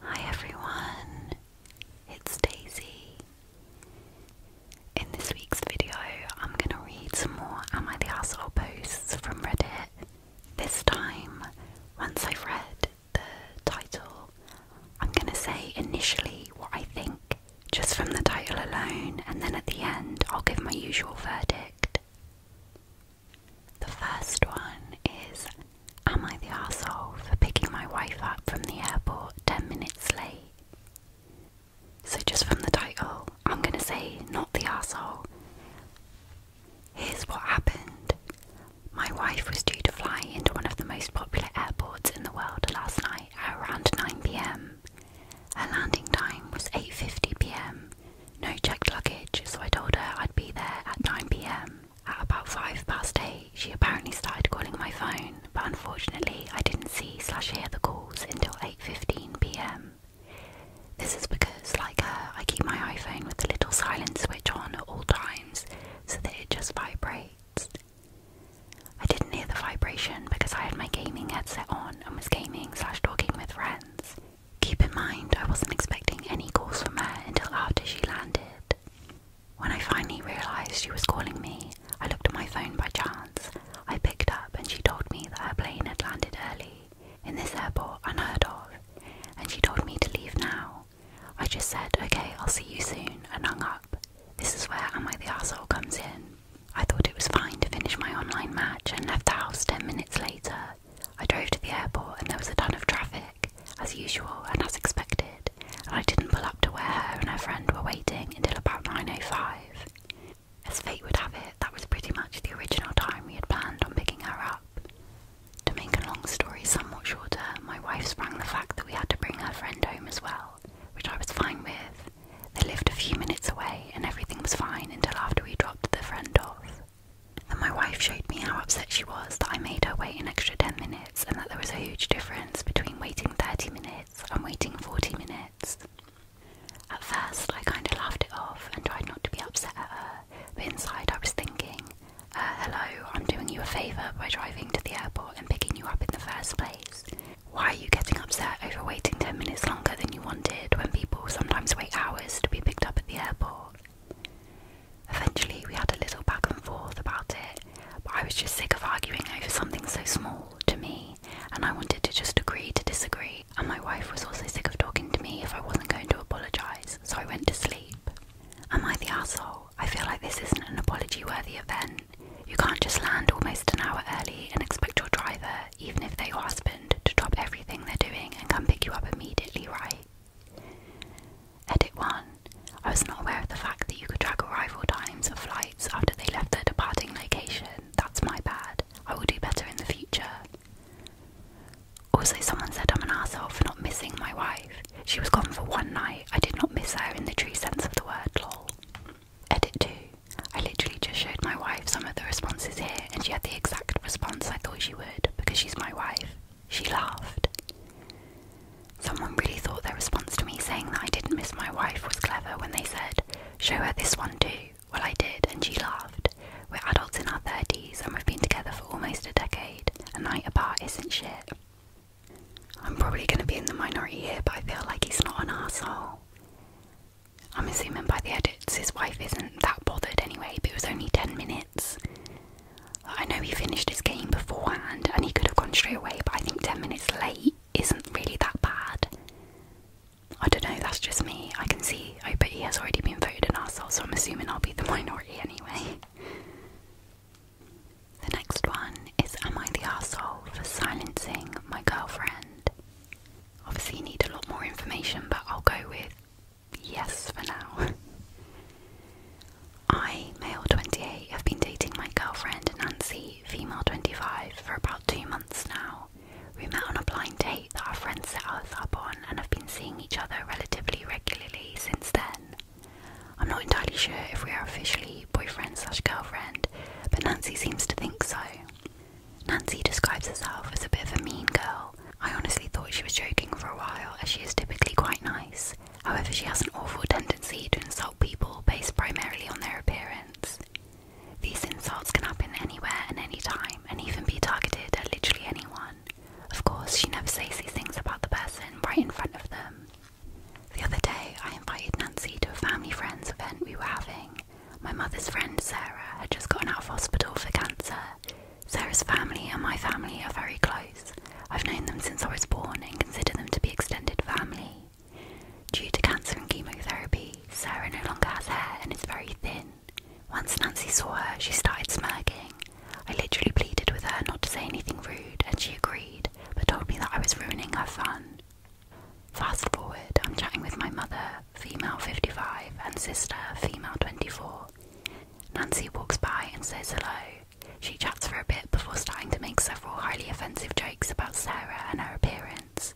Hi everyone, it's Daisy. In this week's video, I'm going to read some more Am I the Asshole posts from Reddit. This time, once I've read the title, I'm going to say initially what I think just from the title alone, and then at the end, I'll give my usual verdict. The first one is Am I the asshole for picking my wife up from the airport 10 minutes late? So, just from the title, I'm gonna say not the asshole. Here's what happened my wife was due to fly into one of the most popular airports in the world last night at around 9 pm. Her landing time was 8:50 pm. No checked luggage, so I told her I'd be there at 9 pm. At about five past eight, she apparently started calling my phone, but unfortunately, I didn't see slash hear the calls until 8:15 p.m. This is because, like her, uh, I keep my iPhone with the little silent switch on at all times so that it just vibrates. I didn't hear the vibration because I had my gaming headset on and was gaming slash talking with friends. Keep in mind, I wasn't expecting any calls from her until after she landed. When I finally realised she was calling me, I looked at my phone by chance. I picked up and she told me that her plane had landed early, in this airport unheard of, and she told me to leave now. I just said, okay, I'll see you soon, and hung up. This is where Am I the Asshole comes in. I thought it was fine to finish my online match and left the house 10 minutes later, I drove to the airport and there was a ton of traffic, as usual and as expected, and I didn't pull up to where her and her friend were waiting until about 9.05. As fate would have it, that was pretty much the original time we had planned on picking her up. To make a long story somewhat shorter, my wife sprang the fact that we had to bring her friend home as well, which I was fine with. They lived a few minutes away and everything was fine until after we dropped the friend off. Then my wife showed me how upset she was that I made her wait an extra 10 minutes and that there was a huge difference between waiting 30 minutes and waiting 40 minutes. At first, I kind of laughed it off and tried not to be upset at her, but inside I was thinking, uh, hello, I'm doing you a favour by driving to the airport and picking you up in the first place. Why are you getting upset over waiting 10 minutes longer than you wanted when people sometimes wait hours to be picked up at the airport? Eventually, we had a little back and forth about it, but I was just sick of arguing over something so small to me, and I wanted to just agree to disagree. And my wife was also sick of talking to me if I wasn't going to apologise, so I went to sleep. Am I the asshole? I feel like this isn't an apology worthy event. You can't just land almost an hour early and expect your driver, even if they're your husband, to drop everything they're doing and come pick you up immediately, right? Edit 1. I was not aware of the fact that you could track arrival times of flights after they left their departing location. That's my bad. I will do better in the future. Also, someone said I'm an asshole for not missing my wife. She was gone for one night. I did not miss her in the true sense of the word, Edit 2. I literally just showed my wife some of the responses here, and she had the exact response I thought she would because she's my wife. She laughed. Someone really thought their response to me saying that I didn't miss my wife was clever when they said, Show her this one too. Well, I did, and she laughed. We're adults in our 30s and we've been together for almost a decade. A night apart isn't shit. I'm probably going to be in the minority here, but I feel like he's not an asshole. I'm assuming by the edits his wife isn't that bothered anyway, but it was only 10 minutes. I know he finished his game beforehand and he could have gone straight away, but I think 10 minutes late isn't really that bad. I don't know, that's just me. I can see oh but he has already been voted an arsehole, so I'm assuming I'll be the minority anyway. The next one is Am I the asshole for silencing my girlfriend? Obviously you need a lot more information, but I'll go with yes for now. I, male 28, have been dating my girlfriend Nancy, female 25, for about two months now. We met on a blind date that our friends set us up on and have been seeing each other relatively regularly since then. I'm not entirely sure if we are officially boyfriend slash girlfriend, but Nancy seems to think so. Nancy describes herself as a bit of a mean girl, I honestly thought she was joking for a while, as she is typically quite nice. However, she has an awful tendency to insult people based primarily on their appearance. These insults can happen anywhere and any time, and even be targeted at literally anyone. Of course, she never says these things about the person right in front of them. The other day, I invited Nancy to a family friends event we were having. My mother's friend Sarah had just gotten out of hospital for cancer, Sarah's family and my family are very close. I've known them since I was born and consider them to be extended family. Due to cancer and chemotherapy, Sarah no longer has hair and is very thin. Once Nancy saw her, she started smirking. I literally pleaded with her not to say anything rude, and she agreed, but told me that I was ruining her fun. Fast forward, I'm chatting with my mother, female 55, and sister, female 24. Nancy walks by and says hello. She chats for a bit before starting to make several highly offensive jokes about Sarah and her appearance.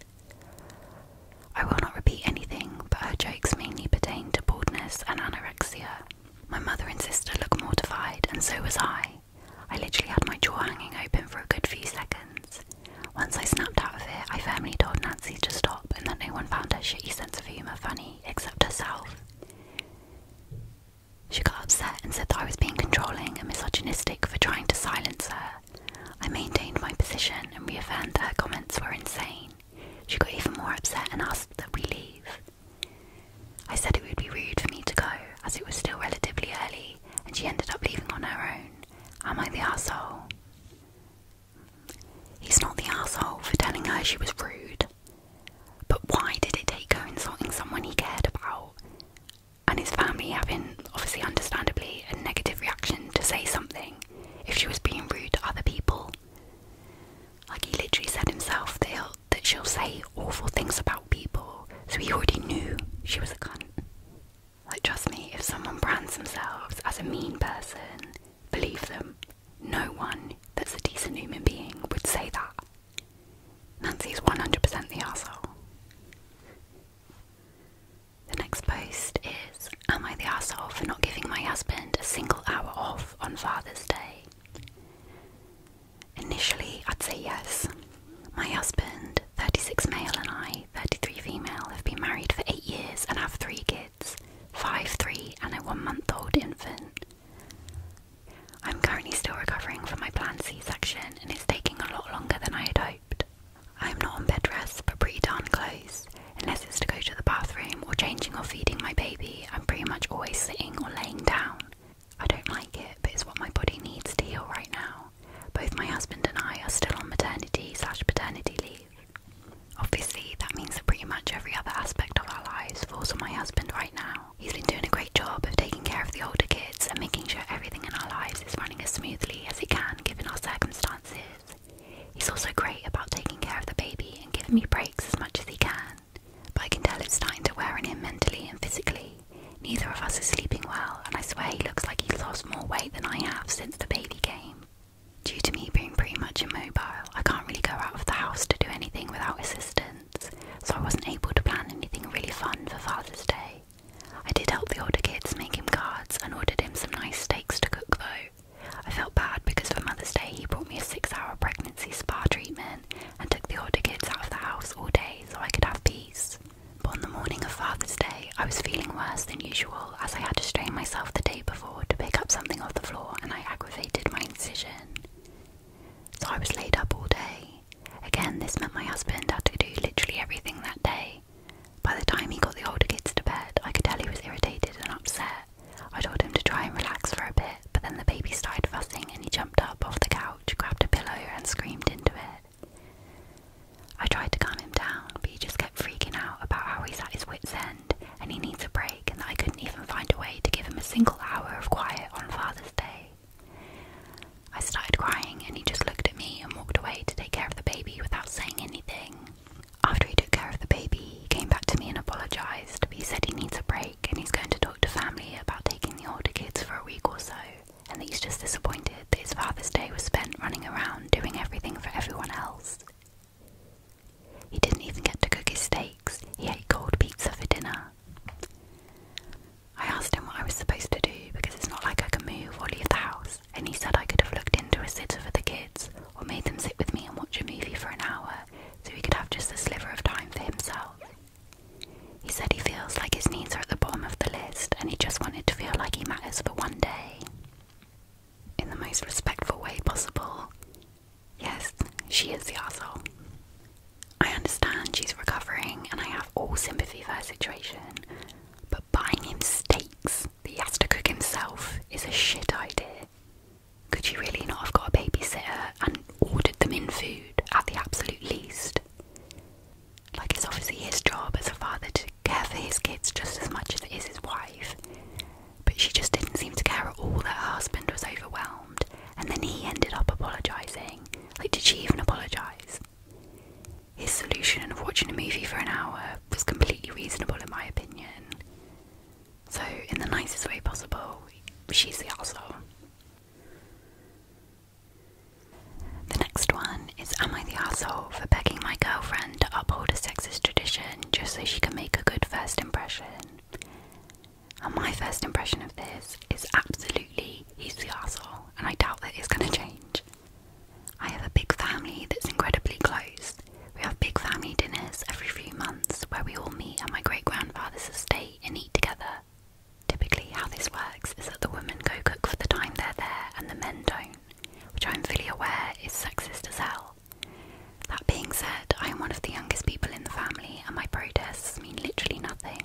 I will not repeat anything, but her jokes mainly pertain to baldness and anorexia. My mother and sister look mortified, and so was I. I literally had my jaw hanging open for a good few seconds. Once I snapped out of it, I firmly told Nancy to stop and that no one found her shitty sense of humour funny except herself. She got upset and said that I was being controlling and misogynistic for trying to silence her. I maintained my position and reaffirmed that her comments were insane. She got even more upset and asked that we leave. I said it would be rude for me to go, as it was still relatively early, and she ended up leaving on her own. Am I the asshole? He's not the asshole for telling her she was rude. But why did it take her insulting someone he cared about? And his family having, obviously, understandably, a negative reaction to say something if she was being rude to other people. Like he literally said himself that, that she'll say awful things about people, so he already knew she was a cunt. Like, trust me, if someone brands themselves as a mean person, believe them. No one that's a decent human being would say that. Nancy's 100% the asshole. The next post is Am I the asshole for not giving my husband a single hour off on Father's Day? Initially, I'd say yes. My husband, 36 male, and I, 33 female, have been married for 8 years and have 3 kids. 5'3 and a one month old infant. I'm currently still recovering from my planned C section and it's taking a lot longer than I had hoped. I'm not on bed rest but pretty darn close. Unless it's to go to the bathroom or changing or feeding my baby, I'm pretty much always sitting or laying down. I don't like it, but it's what my body needs to heal right now. Both my husband and I are still on maternity slash paternity leave, Obviously, that means that pretty much every other aspect of our lives falls on my husband right now. He's been doing a great job of taking care of the older kids and making sure everything in our lives is running as smoothly as it can given our circumstances. He's also great about taking care of the baby and giving me breaks as much as he can, but I can tell it's starting to wear on him mentally and physically. Neither of us is sleeping well, and I swear he looks like he's lost more weight than I have since the baby came. Due to me being pretty much immobile, I can't really go out of the house to do anything without assistance, so I wasn't able to plan anything really fun for Father's Day. I did help the older kids make him cards and ordered him some nice steaks to cook though. I felt bad because for Mother's Day he brought me a six hour pregnancy spa treatment and took the older kids out of the house all day so I could have peace. But on the morning of Father's Day, I was feeling worse than usual as I had to strain myself the day before to pick up something off the floor and I aggravated my incision. So I was laid up all day. Again, this meant my husband had to do literally everything that day. By the time he got the older kids to bed, I could tell he was irritated and upset. I told him to try and relax for a bit, but then the baby started fussing and he jumped up off the couch, grabbed a pillow, and screamed into it. I tried to calm him down, but he just kept freaking out about how he's at his wits' end and he needs a break, and I couldn't even find a way to give him a single hour of quiet on Father's Day. I started crying, and he just looked at me and walked away to take care of the baby without saying anything. After he took care of the baby, he came back to me and apologised. He said he needs a break and he's going to talk to family about taking the older kids for a week or so, and that he's just disappointed that his Father's Day was spent running around doing everything for everyone else. He didn't even get to cook his steaks, he ate cold pizza for dinner. I asked him what I was supposed to do because it's not like I can move or leave the house, and he said I could have looked into a sitter for the kids or made them sit with me and watch a movie for an hour so he could have just a sliver of time for himself. He said he feels like his needs are at the bottom of the list and he just wanted to feel like he matters for one day in the most respectful way possible. Yes, she is the asshole. I understand she's recovering and I have all sympathy for her situation, but buying him steaks that he has to cook himself is a shit idea. Could she really not have got a babysitter and ordered them in food at the absolute least? Like, it's obviously his job as a father to care for his kids just as much as it is his wife. But she just didn't seem to care at all that her husband was overwhelmed, and then he ended up apologising. Like, did she even apologise? His solution of watching a movie for an hour was completely reasonable, in my opinion. So, in the nicest way possible, she's the asshole. The next one is Am I the asshole for begging my girlfriend? to uphold a sexist tradition just so she can make a good first impression. And my first impression of this is absolutely he's the arsehole, and I doubt that it's going to change. I have a big family that's incredibly close. We have big family dinners every few months where we all meet at my great grandfather's estate and eat together. Typically, how this works is that the women go cook for the time they're there and the men don't which I'm fully aware is sexist as hell. That being said, I am one of the youngest people in the family, and my protests mean literally nothing.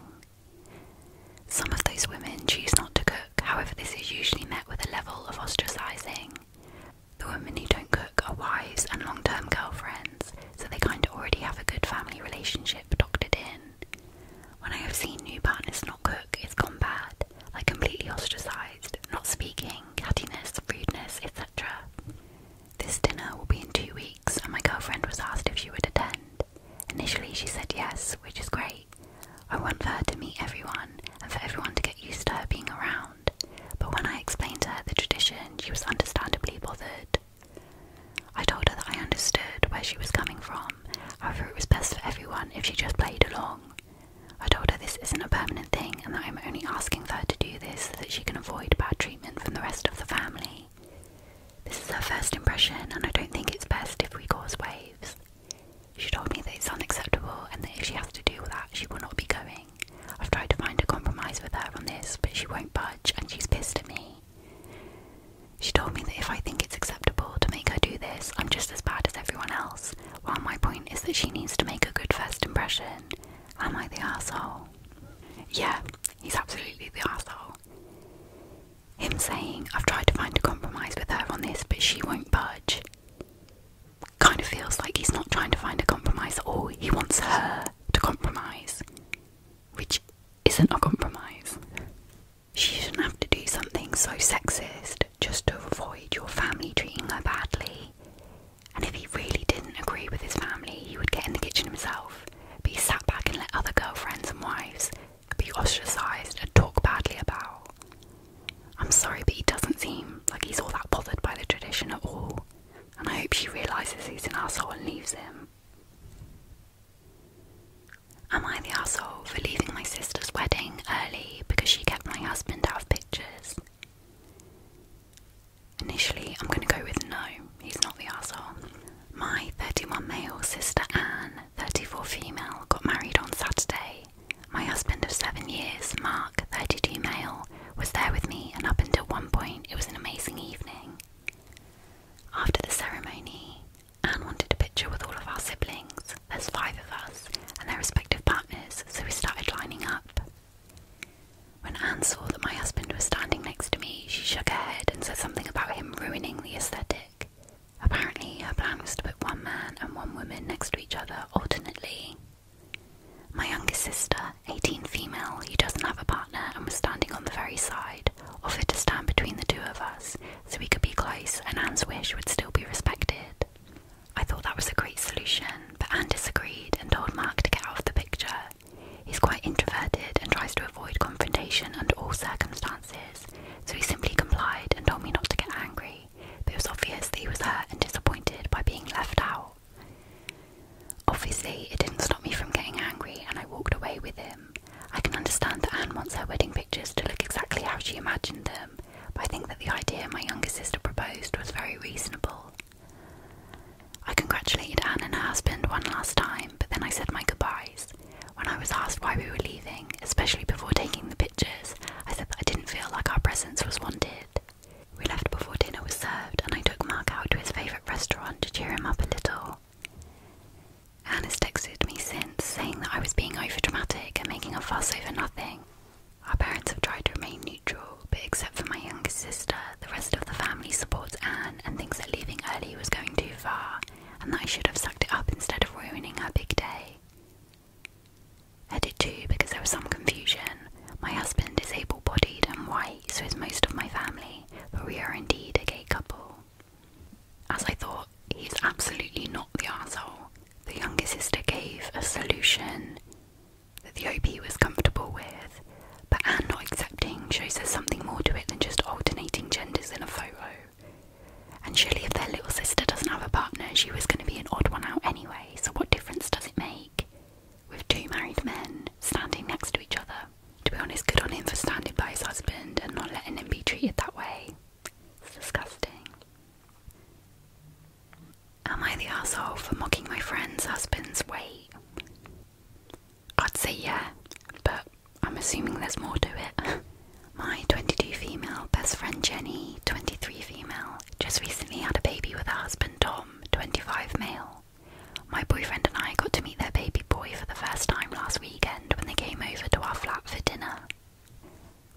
Some of those women choose not to cook, however, this is usually met with a level of ostracising. The women who don't cook are wives and long term girlfriends, so they kind of already have a good family relationship doctored in. When I have seen new partners not cook, it's gone bad, like completely ostracised not speaking, cattiness, rudeness, etc. This dinner will be in two weeks, and my girlfriend was asked if she would attend. Initially, she said yes, which is great. I want for her to meet everyone and for everyone to get used to her being around, but when I explained to her the tradition, she was understandably bothered. I told her that I understood where she was coming from, however, it was best for everyone if she just played along. I told her this isn't a permanent thing and that I'm only asking for her to do this so that she can avoid bad treatment from the rest of the family. This is her first impression, and I don't think it's best if we cause waves. She told me that it's unacceptable and that if she has to do that, she will not be going. I've tried to find a compromise with her on this, but she won't budge and she's pissed at me. She told me that if I think it's acceptable to make her do this, I'm just as bad as everyone else, while my point is that she needs to make a good first impression, am I the asshole? Yeah, he's absolutely the asshole. Him saying, I've tried to find a compromise with her on this, but she won't budge, kind of feels like he's not trying to find a compromise at all. He wants her to compromise, which isn't a compromise. She shouldn't have to do something so sexist just to avoid your family treating her badly. And if he really didn't agree with his family, he would get in the kitchen himself, but he sat back and let other girlfriends and wives be ostracised and talk badly about. I'm sorry, but he doesn't seem like he's all that bothered by the tradition at all, and I hope she realises he's an asshole and leaves him. Am I the asshole for leaving my sister's wedding early because she kept my husband out of pictures? Initially, I'm going to go with no, he's not the asshole. My 31 male sister Anne, 34 female, got married on Saturday. My husband of seven years, Mark, 32 male, was there with me, and up until one point, it was an amazing evening. After the ceremony, Anne wanted a picture with all of our siblings there's five of us, and their respective partners, so we started lining up. When Anne saw that my husband was standing next to me, she shook her head and said something about him ruining the aesthetic. Apparently, her plan was to put one man and one woman next to each other alternately. My youngest sister, 18 female, who doesn't have a partner and was standing on the very side, offered to stand between the two of us so we could be close and Anne's wish would still be respected. I thought that was a great solution, but Anne disagreed and told Mark to get out of the picture. He's quite introverted and tries to avoid confrontation under all circumstances, so he simply complied and told me not to get angry, but it was obvious that he was hurt and disappointed by being left out. Obviously, it didn't stop me from getting angry and I walked away with him. I can understand that Anne wants her wedding pictures to look exactly how she imagined them, but I think that the idea my younger sister proposed was very reasonable. I congratulated Anne and her husband one last time, but then I said my goodbyes. When I was asked why we were leaving, especially before taking the pictures, I said that I didn't feel like our presence was wanted. We left before dinner was served, and I took Mark out to his favourite restaurant to cheer him up a little. Anne has texted me since, saying that I was being overdramatic and making a fuss over nothing. Our parents have tried to remain neutral, but except for my youngest sister, the rest of the family supports Anne and thinks that leaving early was going too far and that I should have sucked it up instead of ruining her big day. I did too because there was some confusion. My husband is able bodied and white, so is most of my family, but we are indeed a gay couple. As I thought, he's absolutely not the arsehole. The younger sister gave a solution that the OP was comfortable with, but Anne not accepting shows there's something more to it than just alternating genders in a photo. And surely, if their little sister doesn't have a partner, she was going to be an odd one out anyway, so what difference does it make? With two married men standing next to each other. To be honest, good on him for standing by his husband and not letting him be treated that way. It's disgusting. Am I the asshole for mocking my friends' husbands? weight? I'd say yeah, but I'm assuming there's more to it. my 22 female best friend Jenny, 23 female, just recently had a baby with her husband Tom, 25 male. My boyfriend and I got to meet their baby boy for the first time last weekend when they came over to our flat for dinner.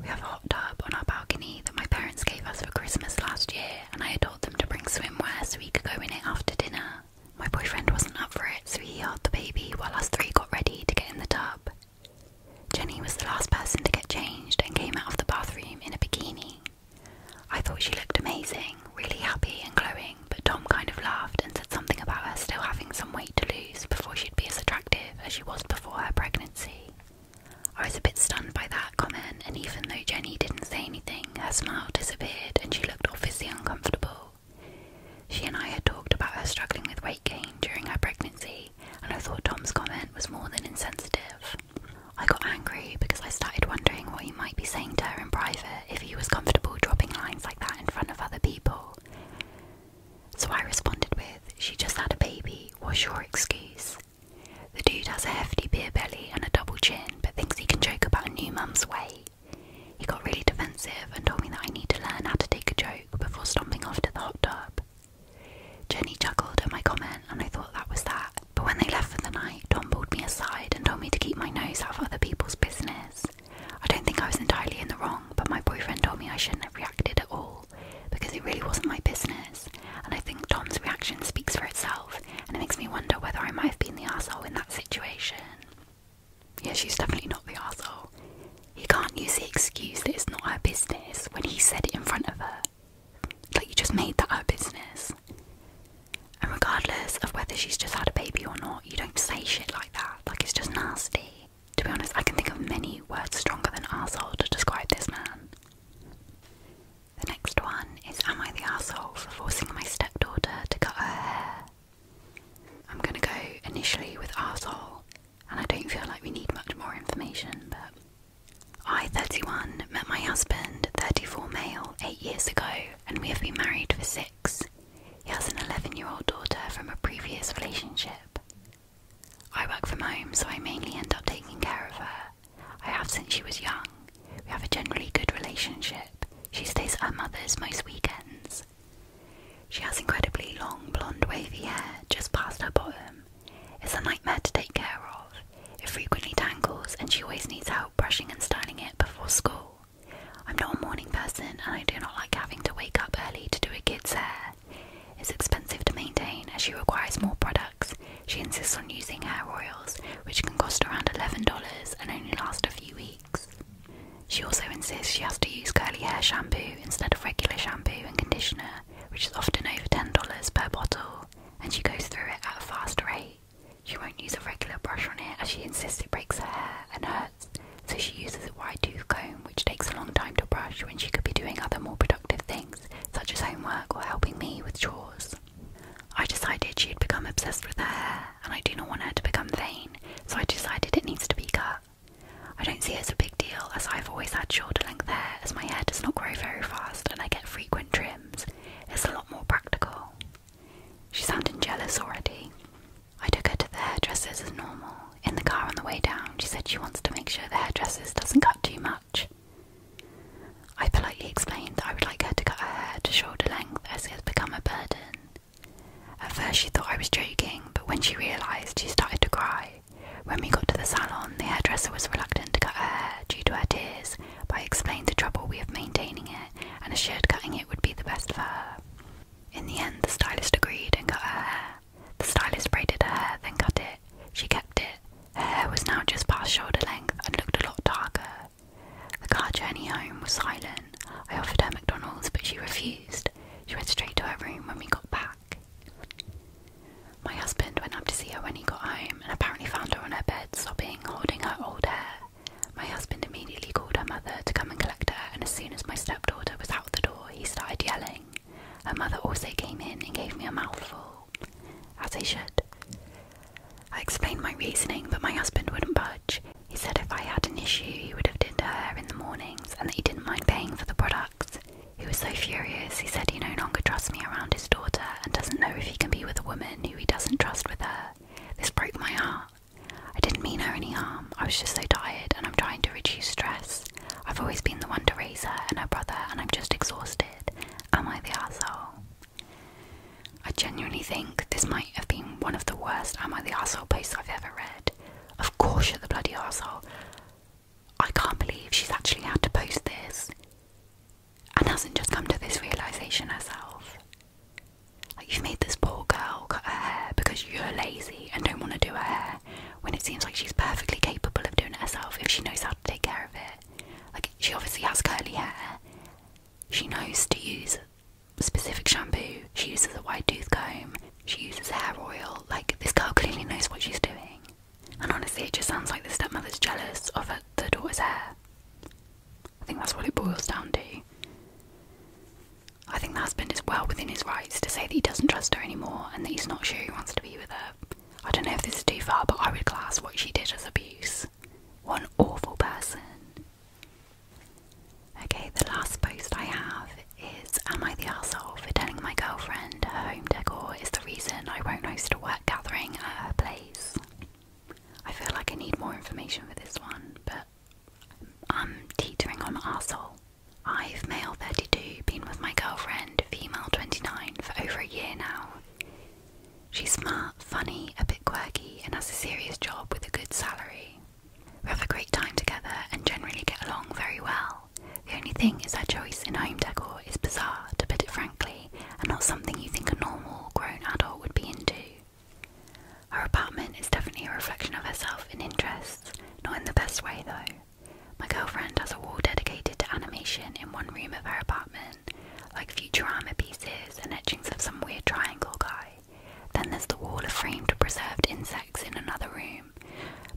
We have a hot tub on our balcony that my parents gave us for Christmas last year, and I had told them to bring swimwear so we could go in it after dinner. My boyfriend wasn't up for it, so he held the baby while us three got ready to get in the tub. Jenny was the last person to get changed and came out of the bathroom in a bikini. I thought she looked amazing, really happy and glowing, but Tom kind of laughed and said something about her still having some weight to lose before she'd be as attractive as she was before her pregnancy. I was a bit stunned by that comment, and even though Jenny didn't say anything, her smile disappeared and she looked obviously uncomfortable. She and I had talked about her struggling with weight gain during her pregnancy, and I thought Tom's comment was more than insensitive. I got angry because I started wondering what he might be saying to her in private if he was comfortable dropping lines like that in front of other people. So I responded with, She just had a baby, Was your excuse? The dude has a hefty beer belly and a double chin, but thinks he can joke about a new mum's way. He got really defensive and told me that I need to learn how to take a joke before stomping off to the hot tub. Jenny chuckled at my comment and I thought that was that. But when they left for the night, Tom pulled me aside and told me to keep my nose out of other people's business. I don't think I was entirely in the wrong, but my boyfriend told me I shouldn't have reacted at all because it really wasn't my business. And I think Tom's reaction speaks for itself and it makes me wonder whether I might have been the asshole in that situation. Yeah, she's definitely not the asshole. He can't use the excuse that it's not her business when he said it in front of her. Like, you just made that her business. And regardless of whether she's just had a baby or not, you don't say shit like that. Like, it's just nasty. To be honest, I can think of many words stronger than asshole to describe this man. The next one is Am I the asshole for forcing my stepdaughter to cut her hair? I'm gonna go initially with asshole, and I don't feel like we need much more information, but. I, 31, met my husband, 34 male, 8 years ago, and we have been married for 6. He has an 11 year old daughter from a previous relationship. I work from home, so I mainly end up taking care of her. I have since she was young. We have a generally good relationship. She stays at her mother's most weekends. She has incredibly long blonde wavy hair just past her bottom. It's a nightmare to take care of. It frequently tangles and she always needs help brushing and styling it before school. I'm not a morning person and I do not like having to wake up early to do a kid's hair. It's expensive to maintain as she requires more products. She insists on using hair oils, which can cost around $11 and only last a few weeks. She also insists she has to use curly hair shampoo instead of regular shampoo and conditioner, which is often over $10 per bottle, and she goes through it at a fast rate. She won't use a regular brush on it as she insists it breaks her hair and hurts, so she uses a wide tooth comb which takes a long time to brush when she could be doing other more productive things, such as homework or helping me with chores. I decided she had become obsessed with her hair, and I do not want her to become vain, so I decided it needs to be cut. I don't see it as a big deal as I've always had shorter length hair as my hair does not grow very fast and I get frequent trims. It's a lot more practical. She's sounding jealous already. I took her to the hairdresser as normal, in the car on the way down, she said she wants to make sure the hairdresser doesn't cut too much. I politely explained that I would like her to cut her hair to shoulder length as it has become a burden. At first, she thought I was joking, but when she realised, she started to cry. When we got to the salon, the hairdresser was reluctant to cut her hair due to her tears, but I explained the trouble we have maintaining it and assured cutting it would be the best for her. In the end, the stylist agreed and cut her hair. The stylist braided her hair, then cut it. She kept it. Her hair was now just past shoulder length and looked a lot darker. The car journey home was silent. I offered her McDonald's, but she refused. She went straight to her room when we got back. My husband went up to see her when he got home and apparently found her on her bed, sobbing, holding her old hair. My husband immediately called her mother to come and collect her, and as soon as my stepdaughter was out the door, he started yelling. Her mother also came in and gave me a mouthful, as I should. I explained my reasoning, but my husband wouldn't budge. He said if I had an issue, he would have done her in the mornings and that he didn't mind paying for the products. He was so furious, he said he no longer trusts me around his daughter and doesn't know if he can be with a woman who he doesn't trust with her. This broke my heart. I didn't mean her any harm, I was just so tired and I'm trying to reduce stress. I've always been the one to raise her and her brother, and I'm just exhausted. Am I the asshole? I genuinely think this might have been one of the worst Am I the asshole posts I've ever read. Of course, you're the bloody asshole. I can't believe she's actually had to post this and hasn't just come to this realization herself. Like, you've made this poor girl cut her hair because you're lazy and don't want to do her hair, when it seems like she's perfectly capable of doing it herself if she knows how to take care of it. Like, she obviously has curly hair, she knows to use specific shampoo, she uses a wide tooth comb, she uses hair oil. Like, this girl clearly knows what she's doing. And honestly, it just sounds like the stepmother's jealous of her, the daughter's hair. I think that's what it boils down to. I think the husband is well within his rights to say that he doesn't trust her anymore and that he's not sure he wants to be with her. I don't know if this is too far, but I would class what she did as abuse. What an awful person. Okay, the last post I have is Am I the asshole for telling my girlfriend her home decor is the reason I won't host a work gathering at her place? I feel like I need more information for this one, but I'm teetering on asshole. I've, male 32, been with my girlfriend, female 29, for over a year now. She's smart, funny, a bit quirky, and has a serious job with a good salary. We have a great time together and generally get along very well. The only thing is her choice in home decor is bizarre, to put it frankly, and not something you think a normal, grown adult would be into. Her apartment is definitely a reflection of herself in interests, not in the best way though. My girlfriend has a wall dedicated to animation in one room of her apartment, like Futurama pieces and etchings of some weird triangle guy. Then there's the wall of framed preserved insects in another room,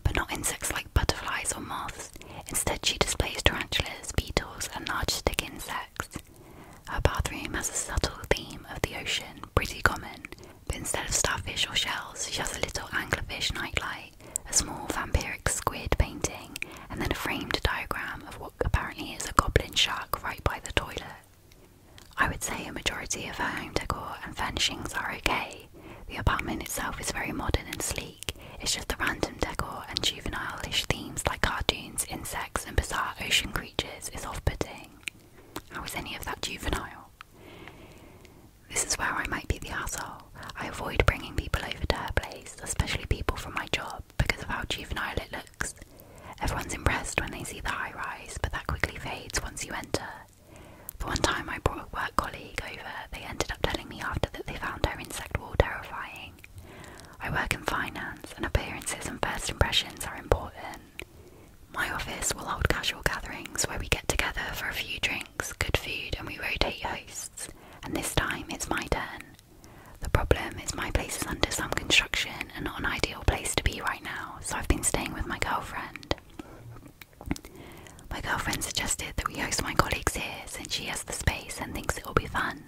but not insects like butterflies or moths. Instead, she displays tarantulas, beetles, and large stick insects. Her bathroom has a subtle theme of the ocean, pretty common, but instead of starfish or shells, she has a little anglerfish nightlight, a small vampiric squid painting, and then a framed diagram of what apparently is a goblin shark right by the toilet. I would say a majority of her home decor and furnishings are okay. The apartment itself is very modern and sleek, it's just the random decor and juvenile-ish themes like cartoons, insects and bizarre ocean creatures is off-putting. How is any of that juvenile? This is where I might be the asshole. I avoid bringing people over to her place, especially people from my job, because of how juvenile it looks. Everyone's impressed when they see the high rise, but that quickly fades once you enter. The one time I brought a work colleague over, they ended up telling me after that they found her insect wall terrifying. I work in finance, and appearances and first impressions are important. My office will hold casual gatherings where we get together for a few drinks, good food, and we rotate hosts, and this time it's my turn. The problem is my place is under some construction and not an ideal place to be right now, so I've been staying with my girlfriend. My girlfriend suggested that we host my colleagues here since she has the space and thinks it will be fun.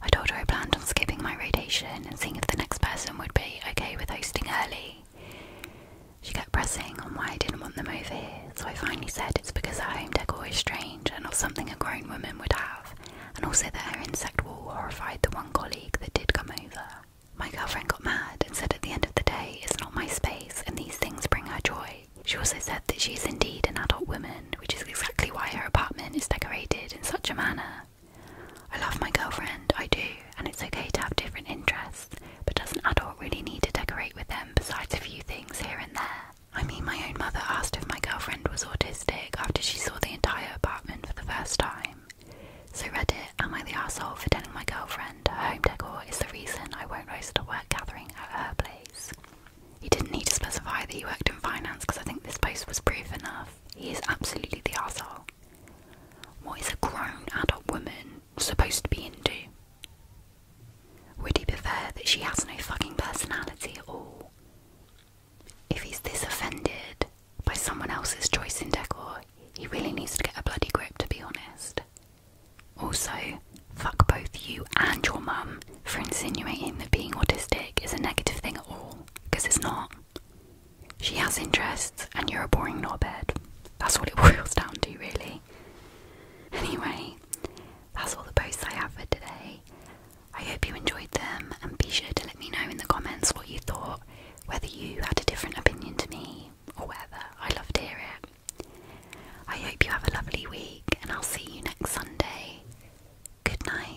I told her I planned on skipping my rotation and seeing if the next person would be okay with hosting early. She kept pressing on why I didn't want them over here, so I finally said it's because her home decor is strange and not something a grown woman would have, and also that her insect wall horrified the one colleague that did come over. My girlfriend got mad and said at the end of the day it's not my space and these things bring her joy. She also said that she is indeed an adult woman, which is exactly why her apartment is decorated in such a manner. I love my girlfriend, I do, and it's okay to have different interests, but does an adult really need to decorate with them besides a few things here and there? I mean, my own mother asked if my girlfriend was autistic after she saw the entire apartment for the first time. So, Reddit, am I the asshole for telling my girlfriend her home decor is the reason I won't host a work gathering at her place? He didn't need to specify that he worked in finance because I think this post was proof enough. He is absolutely the asshole. What is a grown adult woman supposed to be into? Would he prefer that she has no fucking personality at all? If he's this offended by someone else's choice in decor, he really needs to get a bloody grip, to be honest. Also, fuck both you and your mum for insinuating that being autistic is a negative thing at all, because it's not. She has interests, and you're a boring knobhead. That's what it boils down to, really. Anyway, that's all the posts I have for today. I hope you enjoyed them, and be sure to let me know in the comments what you thought, whether you had a different opinion to me, or whether I loved hear it. I hope you have a lovely week, and I'll see you next Sunday. Good night.